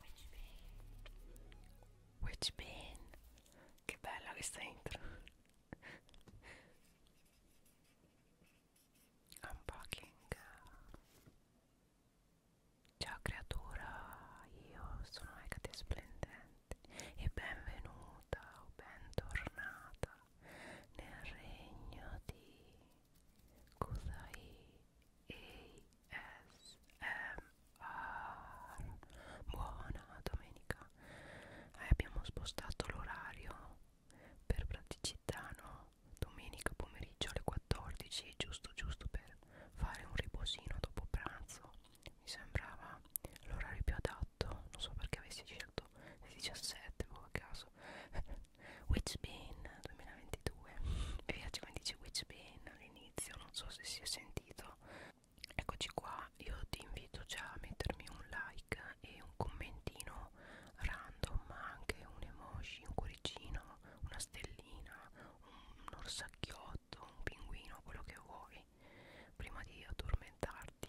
Which Bane Which Bane Che bella questa intro Unpacking Ciao creatura, io sono Hecate Splendente e benvenuta o bentornata nel regno di Kusai ASMR Buona domenica eh, Abbiamo spostato l'orario per praticità, no? Domenica pomeriggio alle 14 Giusto giusto per fare un riposino dopo pranzo Mi sembrava l'orario più adatto Non so perché avessi scelto le 17 boh a caso Witchbane 2022 Mi piace come dice Witchbane all'inizio non so se si è sentito eccoci qua io ti invito già a mettermi un like e un commentino random ma anche un emoji un cuoricino una stellina un orsacchiotto un pinguino quello che vuoi prima di addormentarti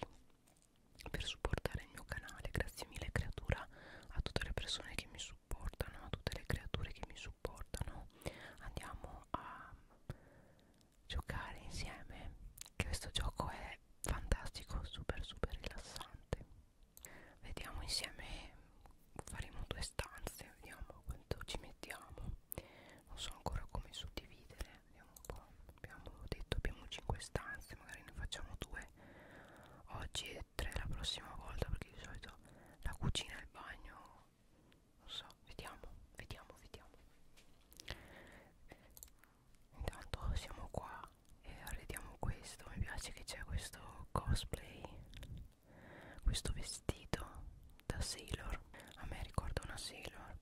per supportare il mio canale grazie mille creatura a tutte le persone che mi supportano a tutte le creature che mi supportano supportano andiamo a giocare insieme che questo gioco è fantastico super super rilassante vediamo insieme faremo due stanze vediamo quanto ci mettiamo non so ancora come suddividere vediamo un po' abbiamo detto abbiamo 5 stanze magari ne facciamo due oggi e tre la prossima volta perché di solito so la cucina e il bagno non so vediamo vediamo vediamo intanto siamo qua e arrediamo questo mi piace che c'è questo cosplay questo vestito da sailor a me ricorda una sailor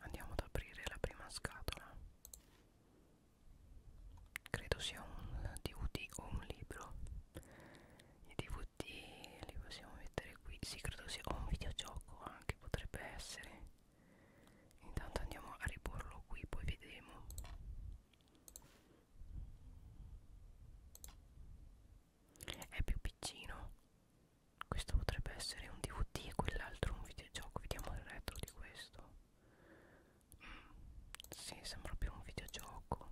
andiamo ad aprire la prima scatola credo sia un dvd o un libro i dvd li possiamo mettere qui sì credo sia un videogioco anche potrebbe essere intanto andiamo a riporlo qui poi vedremo è più piccino questo potrebbe essere un dvd e quell'altro un videogioco vediamo il retro di questo mm, si sì, sembra più un videogioco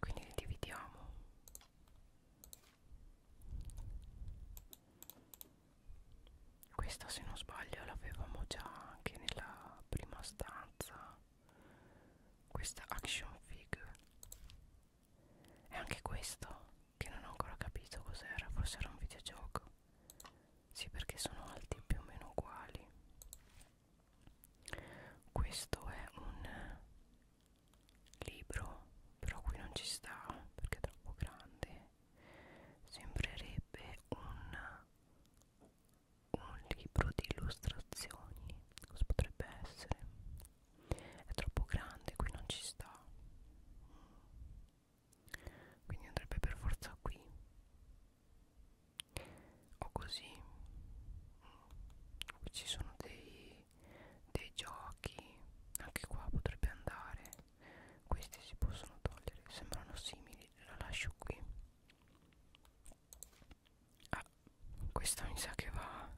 quindi li dividiamo questa se non sbaglio l'avevamo già anche nella prima stanza questa action figure e anche questo che non ho ancora capito cos'era forse era un videogioco sì perché sono alti più o meno uguali questo è un libro però qui non ci sta perché è troppo grande sembrerebbe un, un libro di illustrazioni cosa potrebbe essere è troppo grande qui non ci sta quindi andrebbe per forza qui o così mm. qui ci sono dei, dei giochi anche qua potrebbe andare questi si possono togliere sembrano simili la lascio qui ah questa mi sa che va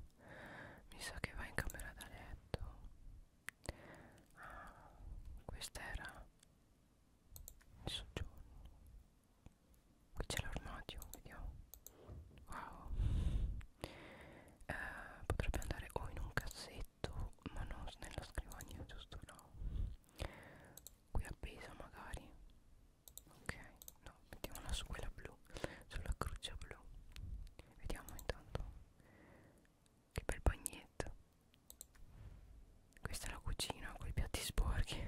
mi sa che va in camera da letto ah questa era il soggiorno qui c'è l'armadio vediamo wow eh, potrebbe andare o in un cassetto ma non nella scrivania giusto no qui appesa magari ok no mettiamola su quella blu sulla croce blu vediamo intanto che bel bagnetto questa è la cucina con i piatti sporchi.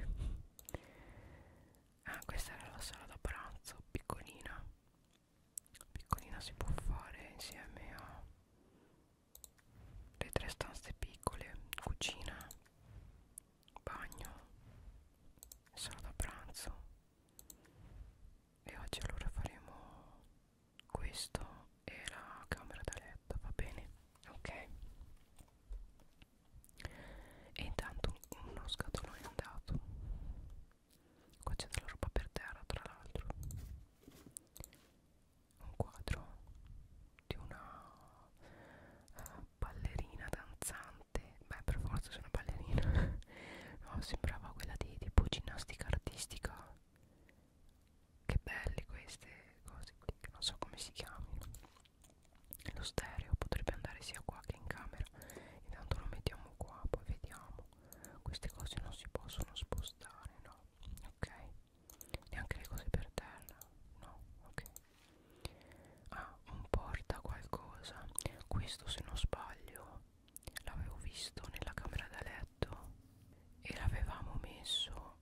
ah, questa era la sala da pranzo, piccolina. Piccolina si può fare insieme a le tre stanze piccole, cucina, bagno, sala da pranzo. E oggi allora faremo questo e la camera da letto, va bene? Ok. E intanto uno scatolone è andato. Qua c'è della roba per terra, tra l'altro. Un quadro di una uh, ballerina danzante. Beh, per forza sono ballerina. no, sembrava quella di tipo ginnastica artistica. Che belle queste cose qui, non so come si chiamino lo stereo potrebbe andare sia qua che in camera intanto lo mettiamo qua poi vediamo queste cose non si possono spostare no ok neanche le cose per terra no ok ah un porta qualcosa questo se non sbaglio l'avevo visto nella camera da letto e l'avevamo messo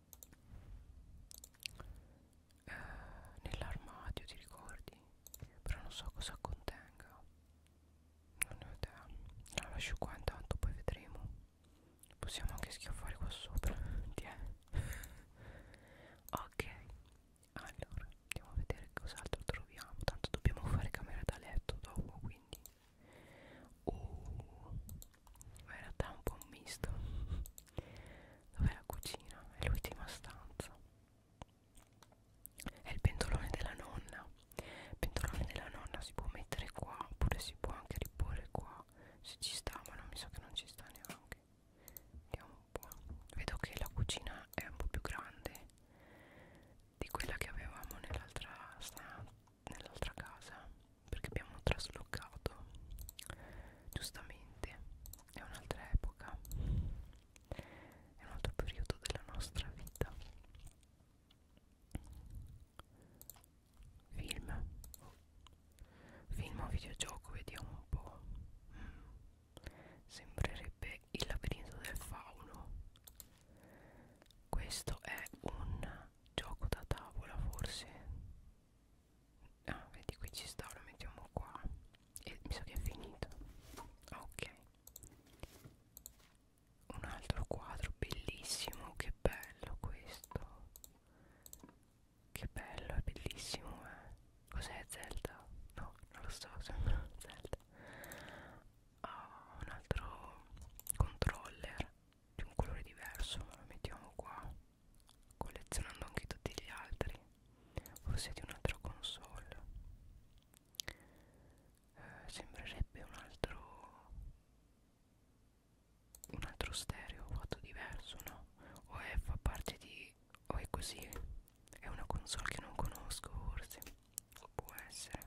eh, nell'armadio ti ricordi però non so cosa contenga non ne ho idea la lascio qua intanto poi vedremo possiamo anche schiaffare qua sopra ok allora andiamo a vedere cos'altro troviamo tanto dobbiamo fare camera da letto dopo quindi uh, in realtà è un po' un misto Dov'è la cucina? È l'ultima stanza. È il pentolone della nonna. Il pentolone della nonna si può mettere qua, oppure si può anche riporre qua. Se ci sta, ma non mi sa che non ci sta neanche. Vediamo un po'. Vedo che la cucina è un po' più grande di quella che avevamo nell'altra nell casa perché abbiamo trasloccato giustamente è un'altra epoca è un altro periodo della nostra vita film film o videogioco vediamo un po' mm. sembrerebbe il labirinto del fauno questo è un gioco da tavola forse ah vedi qui ci sta lo mettiamo qua e mi sa che è finito ok un altro quadro bellissimo che bello questo che bello è bellissimo eh cos'è Zelda? no non lo so sembra Zelda ah un altro controller di un colore diverso lo mettiamo qua collezionando anche tutti gli altri o siete un'altra console eh, sembrerebbe un altro un altro stereo fatto diverso no o è fa parte di o è così è una console che non conosco forse può essere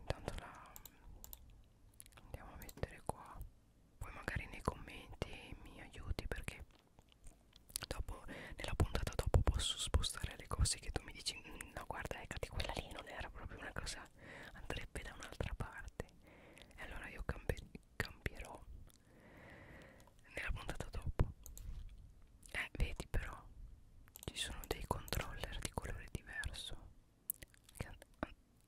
intanto la andiamo a mettere qua poi magari nei commenti mi aiuti perché dopo nella puntata dopo posso spostare le cose che tu mi dici mm, no guarda eccati quella lì non era proprio una cosa andrebbe da un'altra parte e allora io cambierò nella puntata dopo eh vedi però ci sono dei controller di colore diverso che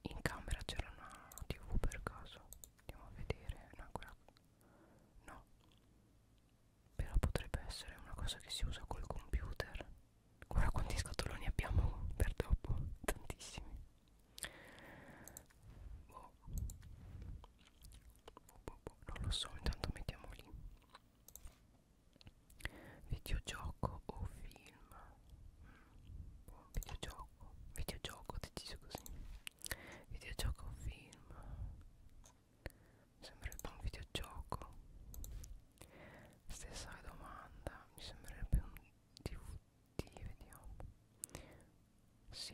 in camera c'era una tv per caso andiamo a vedere no, quella... no però potrebbe essere una cosa che si usa col computer guarda quanti scatoloni abbiamo per dopo tantissimi boh. Boh, boh, boh. non lo so intanto mettiamo lì videogioco o film mm. boh, videogioco videogioco videogioco deciso così videogioco film mi sembrerebbe un videogioco stessa domanda mi sembrerebbe un DVD vediamo sì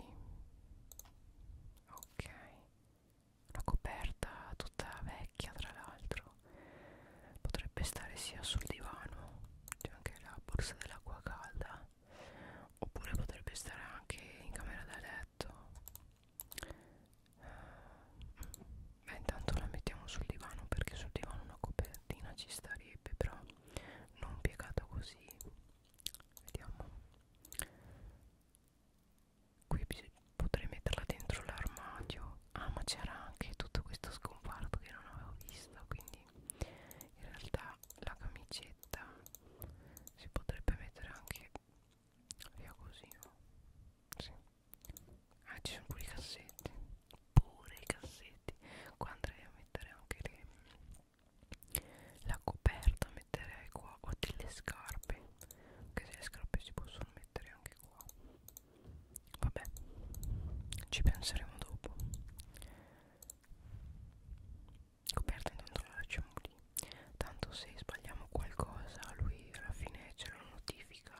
ok la coperta tutta vecchia tra l'altro potrebbe stare sia sul divano c'è anche la borsa dell'acqua calda oppure potrebbe stare anche in camera da letto eh, beh intanto la mettiamo sul divano perché sul divano una copertina ci starebbe però non piegata così vediamo qui potrei metterla dentro l'armadio ah ma c'era anche tutto questo scomparto che non avevo visto quindi in realtà la camicetta si potrebbe mettere anche via così no? sì. ah ci sono pure i cassetti pure i cassetti qua andrei a mettere anche le, la coperta metterei qua o delle scarpe che se le scarpe si possono mettere anche qua vabbè ci penseremo dopo coperta dentro la ciamoli tanto se sbagliamo qualcosa lui alla fine ce lo notifica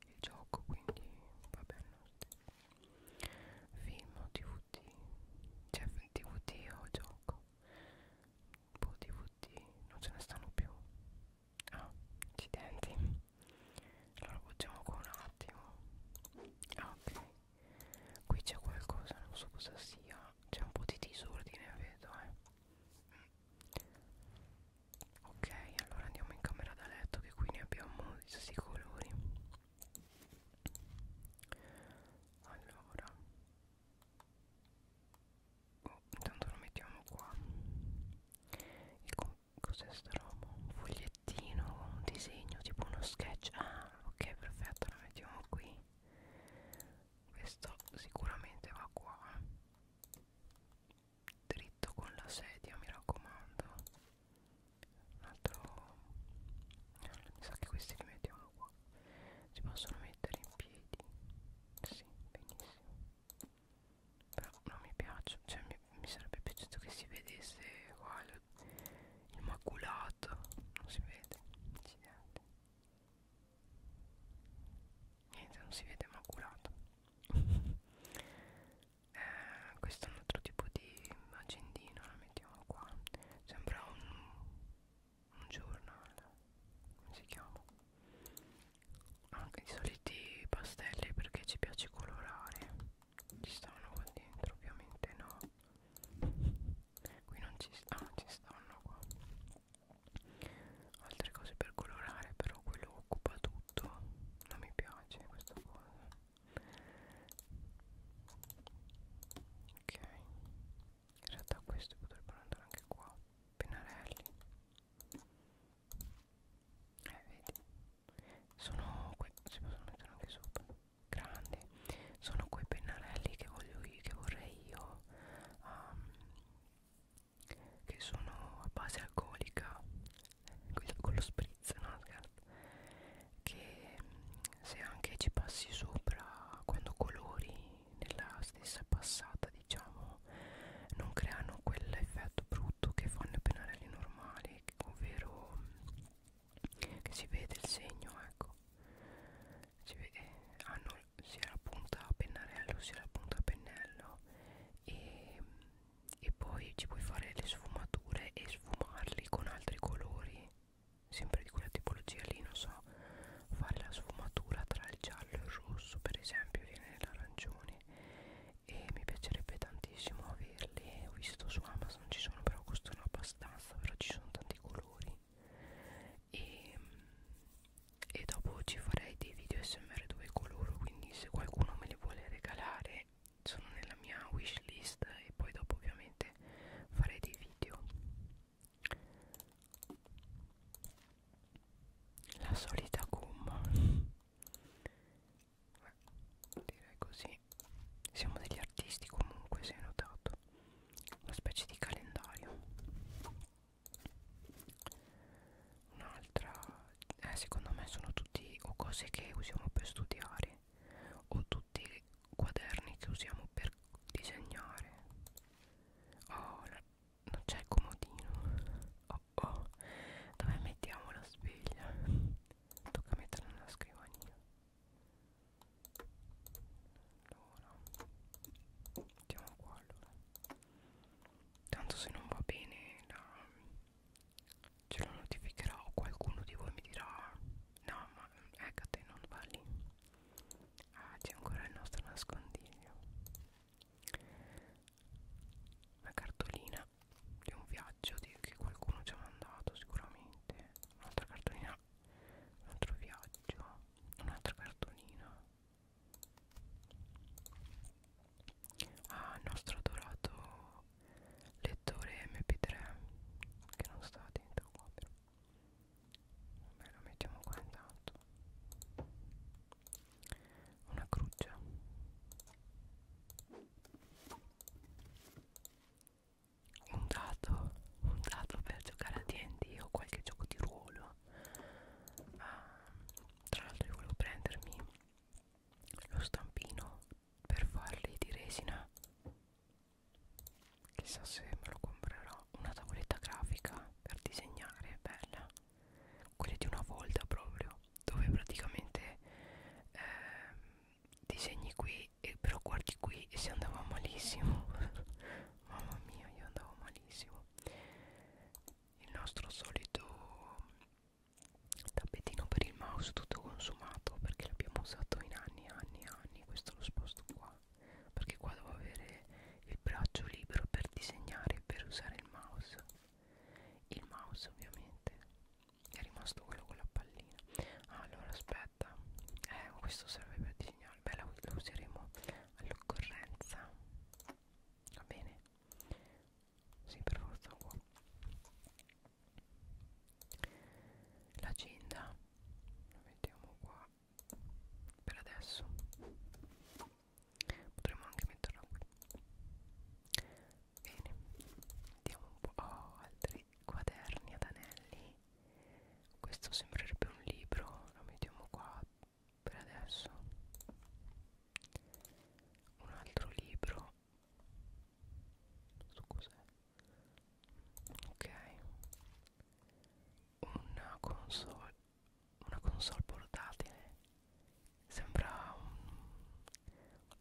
il gioco quindi va bene film o dvd cioè dvd o gioco boh dvd non ce ne stanno più ah accidenti allora buttiamo qua un attimo ah ok qui c'è qualcosa non so cosa sia c'è un po' di disordine vedo eh ok allora andiamo in camera da letto che qui ne abbiamo di questi colori allora oh, intanto lo mettiamo qua cos'è sta roba? un foglietto oggettino un disegno tipo uno sketch ah ok perfetto la mettiamo qui questo sicuramente va qua dritto con la sedia mi raccomando un altro allora, mi sa che questi li mettiamo qua si possono mettere in piedi sì benissimo però non mi piace cioè mi, mi sarebbe piaciuto che si vedesse qua il maculato non si vede accidenti niente non si vede maculato eh, questo è un altro tipo di agendina la mettiamo qua sembra un, un giornale come si chiama anche i soliti pastelli perché ci piace colorare ci stanno qua dentro ovviamente no qui non ci stanno ah, ci stanno qua altre cose per colorare però quello occupa tutto non mi piace questa cosa ok in realtà questi potrebbero andare anche qua pennarelli eh vedi sono qui si possono mettere anche sopra grande sono quei pennarelli che voglio io che vorrei io um, che sono a base alcolica con lo spritz no scherzo che se anche ci passi sopra quando colori nella stessa passata diciamo non creano quell'effetto brutto che fanno i pennarelli normali ovvero che si vede il segno ecco si vede hanno sia la punta a pennarello sia la punta a pennello e, e poi ci puoi fare le sfumature e sfumarli con altri colori sempre di quella tipologia lì non so fare la sfumatura tra il giallo e il rosso per esempio viene l'arancione e mi piacerebbe tantissimo averli ho visto su Amazon ci sono però costano abbastanza stanza però ci sono tanti colori e, e dopo ci farei dei video smr dove coloro quindi se qualcuno me li vuole regalare sono nella mia wishlist e poi dopo ovviamente farei dei video la solita gomma Beh, direi così e siamo degli artisti comunque se hai notato una specie di calendario un'altra eh, secondo me sono tutti o cose che usiamo per studiare o tutti quaderni che usiamo per disegnare oh la, non c'è il comodino oh oh dove mettiamo la sveglia tocca metterla nella scrivania allora mettiamo qua allora tanto se non va bene la, ce lo notificherà o qualcuno di voi mi dirà no ma Ecate eh, non va lì ah c'è ancora il nostro nascondiglio una cartolina di un viaggio di, che qualcuno ci ha mandato sicuramente un'altra cartolina un altro viaggio un'altra cartolina ah il nostro adorato lettore mp3 che non sta dentro qua però vabbè lo mettiamo qua intanto una cruccia un dato un dato per giocare a D&D o qualche gioco di ruolo uh, tra l'altro io volevo prendermi lo stampino per farli di resina chissà se me lo comprerò una tavoletta grafica per disegnare bella quelle di una volta proprio dove praticamente eh, disegni qui e però guardi qui e si andava malissimo mamma mia io andavo malissimo il nostro solito tappetino per il mouse tutto consumato perché l'abbiamo usato in anni e anni e anni questo lo sposto qua perché qua devo avere il braccio libero per disegnare e per usare il mouse il mouse ovviamente è rimasto quello con la pallina ah, allora aspetta eh, questo serve per disegnare beh lo, lo useremo all'occorrenza va bene sì per forza qua l'agenda la mettiamo qua per adesso potremmo anche metterla qui bene mettiamo un po' oh, altri quaderni ad anelli questo sembrerebbe un libro lo mettiamo qua per adesso un altro libro su cos'è ok una console una console portatile sembra un,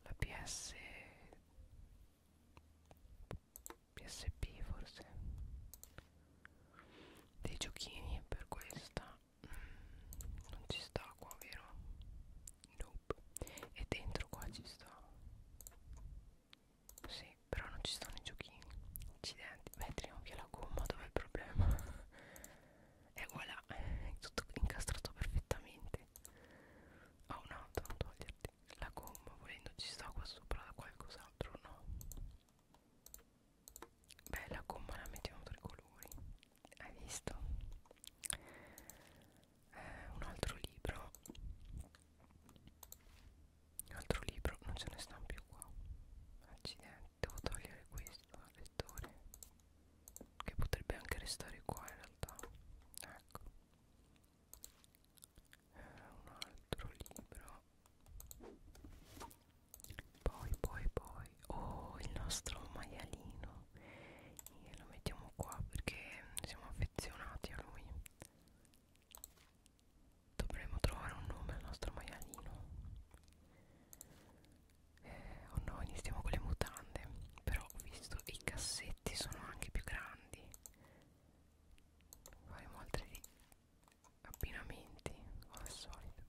la PS PSP forse dei giochini per questa mm, non ci sta qua vero? Nope. E dentro qua ci sta Sì però non ci stanno i giochini Accidenti Beh tiriamo via la gomma dov'è il problema? e voilà È tutto incastrato perfettamente Oh ah, no, non toglierti la gomma volendo ci sta qua sopra qualcos'altro no beh la gomma la mettiamo tre colori hai visto eh, un altro libro un altro libro non ce ne stanno più qua accidenti devo togliere questo lettore che potrebbe anche restare qua in realtà ecco eh, un altro libro poi poi poi oh il nostro maialino e lo mettiamo qua perché siamo affezionati a lui dovremmo trovare un nome al nostro maialino eh, oh no iniziamo con le mutande però ho visto i cassetti sono anche più grandi faremo altri abbinamenti come al solito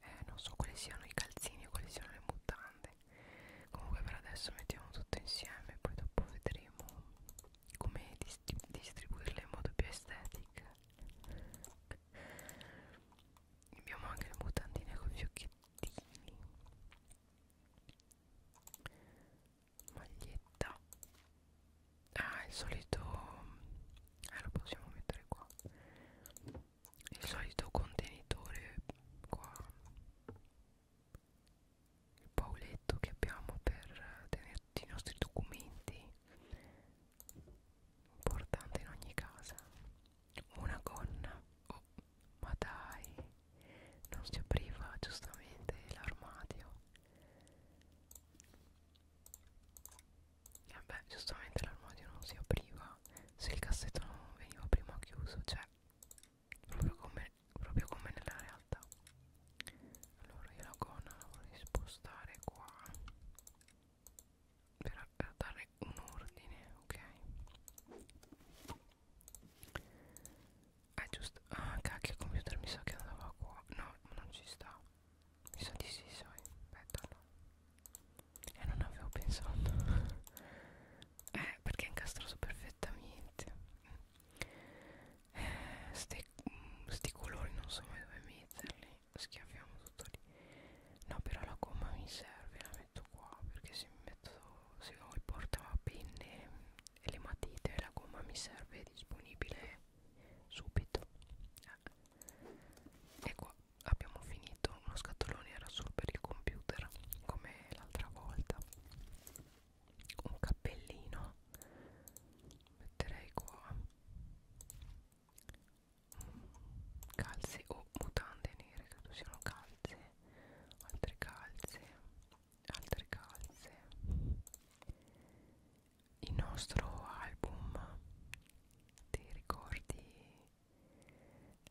eh non so quali siano i calzini e quali siano le mutande comunque per adesso mettiamo tutto insieme poi dopo vedremo come distrib distribuirle in modo più estetico abbiamo anche le mutandine con gli occhiettini maglietta ah il solito eh, lo possiamo mettere qua il solito contenitore qua il pauletto che abbiamo per tenerti i nostri documenti importante in ogni casa una gonna o oh, ma dai, non si apriva giustamente l'armadio. E eh beh, giustamente l'armadio non si apriva se il cassetto non veniva prima chiuso, cioè proprio come, proprio come nella realtà. Allora io la gonna la vorrei spostare qua per, per dare un ordine, ok? è giusto ah cacchio il computer mi sa che andava qua no non ci sta mi sa di sì sai aspetta no e eh, non avevo pensato eh perché è incastrato perfettamente eh, sti, mm, sti colori non so mai dove metterli schiaffiamo tutto lì no però la gomma mi serve la metto qua perché se mi metto se ho il portapenne e le matite la gomma mi serve disponibile subito e qua abbiamo finito uno scatolone era solo per il computer come l'altra volta un cappellino metterei qua calze o mutande nere credo siano calze calze altre calze altre calze il nostro album ti ricordi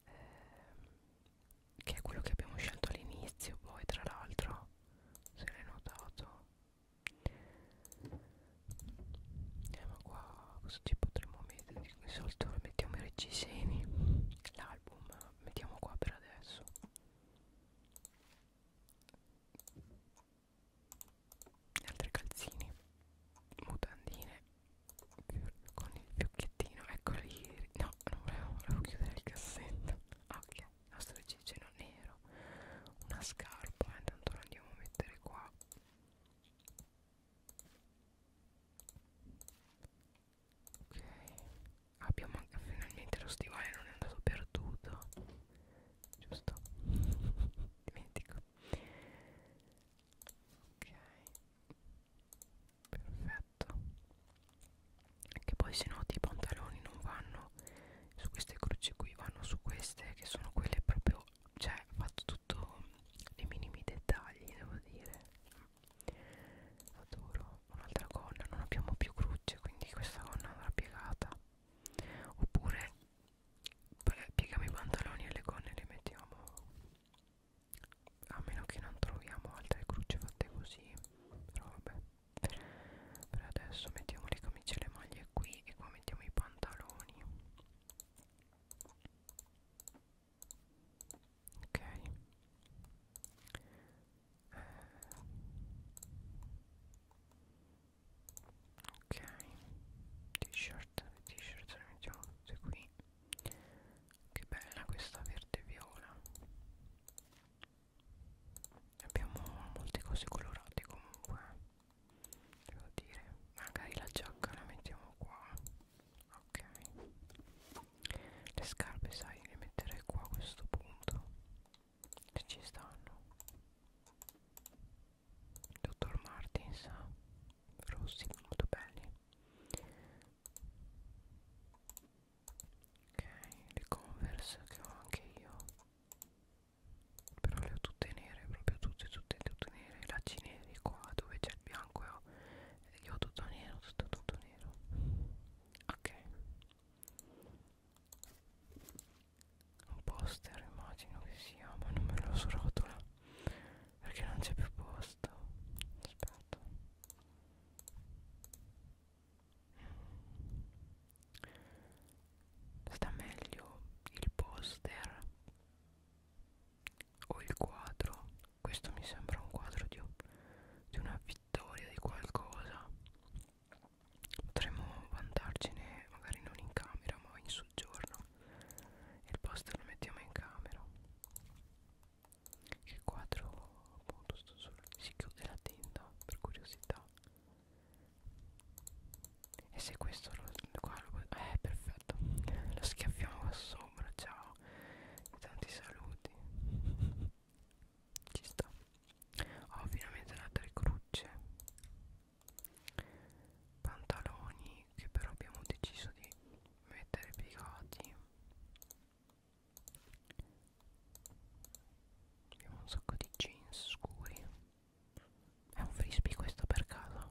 eh, che è quello che abbiamo scelto all'inizio poi tra l'altro se l'hai notato eh, ma qua cosa ci potremmo mettere di solito mettiamo i reggiseni l'album mettiamo qua per adesso altri calzini mutandine con il fiocchettino eccoli no non volevo, volevo chiudere il cassetto ah, ok il nostro cigino nero una scarpa intanto eh, la andiamo a mettere qua Ok Abbiamo anche finalmente lo stivale non è andato perduto Giusto Dimentico Ok Perfetto Che poi se no i pantaloni non vanno su queste croci qui Vanno su queste che sono quelle proprio Cioè fatto tutto nei minimi dettagli devo dire adoro un'altra gonna non abbiamo più cruce quindi questa gonna andrà piegata oppure pieghiamo i pantaloni e le gonne le mettiamo a meno che non troviamo altre cruce fatte così però vabbè per adesso mettiamo le camicie e le maglie qui e qua mettiamo i pantaloni ok eh. ok t-shirt t-shirt le mettiamo tutte qui che bella questa verde e viola abbiamo molte cose colorate comunque eh. devo dire magari la giacca la mettiamo qua ok le scarpe sai le metterei qua a questo punto se ci stanno dottor Martins rossi molto belli ok le converse che ho anche io però le ho tutte nere proprio tutte tutte tutte nere i lacci neri qua dove c'è il bianco io ho tutto nero tutto tutto nero nero ok un poster immagino che sia ma non me lo srotola perché non c'è più posto aspetta sta meglio il poster o il quadro questo mi sembra un quadro di, di una vittoria di qualcosa potremmo vantarcene magari non in camera ma in soggiorno il poster lo mettiamo in camera il quadro appunto sto solo si chiude la tenda per curiosità e se questo lo, qua lo eh perfetto lo schiaffiamo qua sopra ciao e tanti saluti ci sta ho oh, finalmente la tre crucce pantaloni che però abbiamo deciso di mettere piegati abbiamo un sacco di jeans scuri è un frisbee questo per caso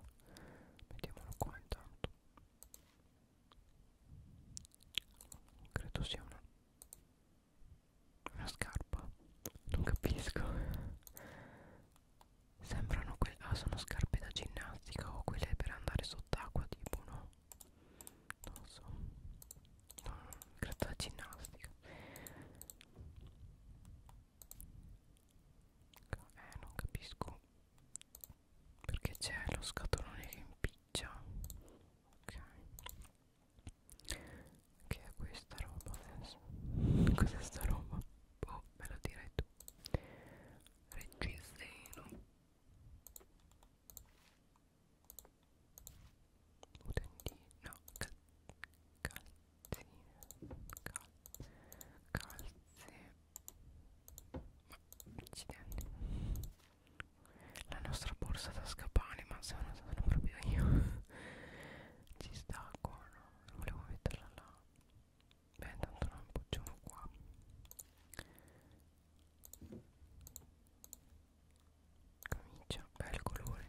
mettiamolo qua intanto credo sia una una scarpa non capisco sembrano quelle ah sono scarpe da ginnastica o quelle per andare sott'acqua tipo no non so no credo da ginnastica eh non capisco perché c'è lo scatolone che impiccia ok che è questa roba adesso cos'è sta roba? boh me lo direi tu reggiseno utendino no cal calzine cal calze ma accidenti la nostra borsa da scapane ma sono, sono proprio io ci sta qua no? non volevo metterla là beh tanto la appoggiamo qua camicia bel colore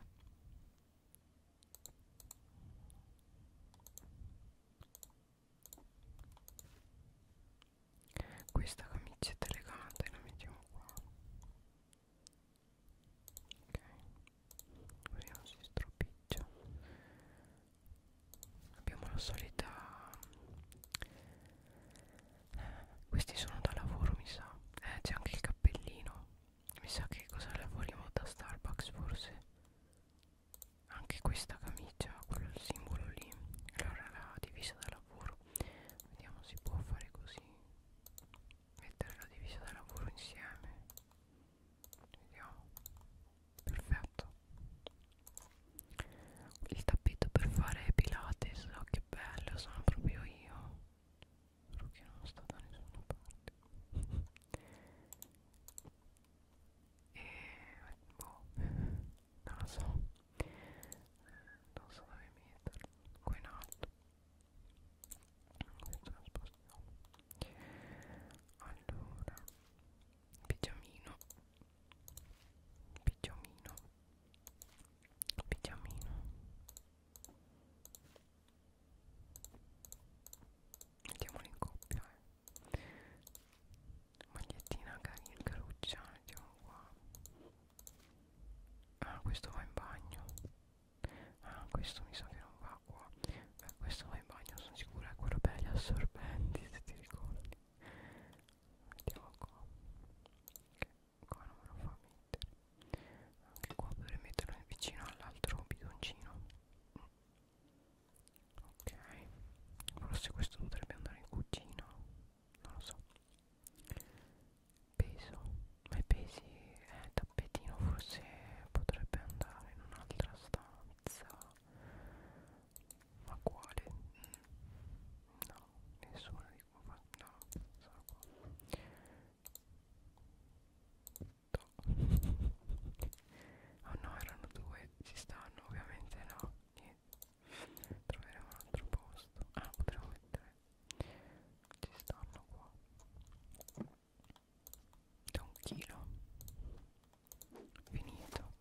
questa camicetta elegante la mettiamo qua ok vediamo se stropiccia abbiamo la solita questi sono da lavoro mi sa eh c'è anche il cappellino mi sa che cosa lavoriamo da Starbucks forse anche questa camicia quello il simbolo lì allora la divisa da lavoro Vediamo si può fare così Mettere la divisa da lavoro insieme Vediamo Perfetto Il tappeto per fare pilates Oh che bello sono proprio io Spero che non sto da nessuna parte E boh non lo so non so dove metterlo qua in alto questo lo spostiamo allora pigiamino pigiamino pigiamino mettiamolo in coppia eh magliettina carina caruccia mettiamo qua ah questo va in bagno ah questo mi sa che non va qua beh questo va in bagno sono sicura è quello per gli assorbenti se ti ricordi mettiamo qua che qua non me lo fa mettere anche qua potrei metterlo vicino all'altro bidoncino ok forse questo potrebbe andare in cucina non lo so peso ma i pesi eh, tappetino forse potrebbe andare in un'altra stanza ma quale no nessuno di qua no sono qua Oh no, erano due, ci stanno ovviamente no, niente troveremo un altro posto ah potremmo mettere ci stanno qua da un chilo finito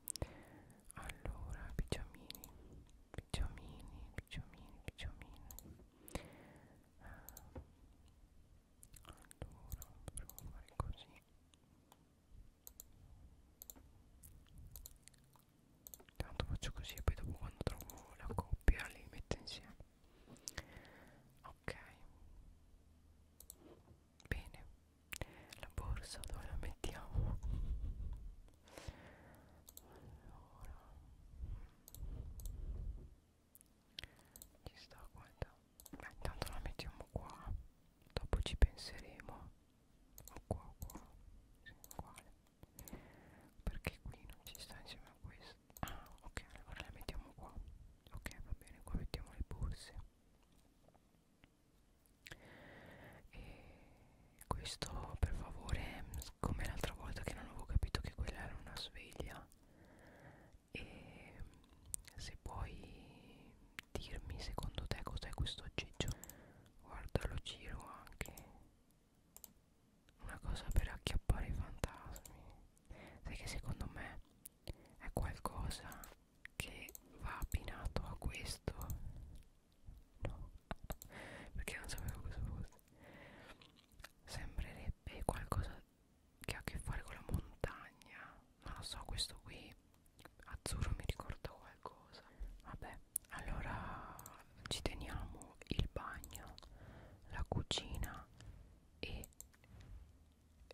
allora pigiamini pigiamini pigiamini pigiamini allora provo a fare così tanto faccio così e poi dopo quando trovo la coppia li metto insieme ok bene la borsa dove la mettiamo allora ci sta guarda beh intanto la mettiamo qua dopo ci penseremo o qua o qua sì, uguale perché qui non ci sta insieme a questo ah ok allora la mettiamo qua ok va bene qua mettiamo le borse e questo per favore come l'altra volta che non avevo capito che quella era una sveglia e se puoi dirmi secondo te cos'è questo aggeggio guarda lo giro anche una cosa per acchiappare i fantasmi sai che secondo me è qualcosa che va abbinato a questo no perché non sapevo cosa fosse sembrerebbe qualcosa che ha a che fare con la montagna non lo so questo qui azzurro mi ricorda qualcosa vabbè allora ci teniamo il bagno la cucina e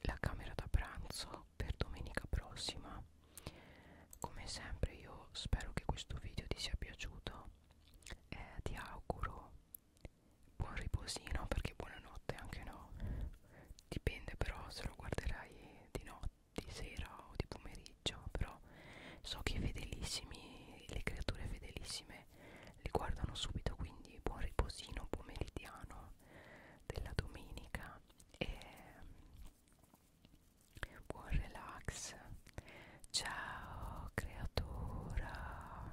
la camera da pranzo per domenica prossima come sempre io spero che questo video ti sia piaciuto e eh, ti auguro buon riposino perché buonanotte anche no dipende però se lo guarderai di notte di sera o di pomeriggio però so che i fedelissimi le creature fedelissime li guardano subito quindi buon riposino pomeridiano della domenica e mm, buon relax ciao creatura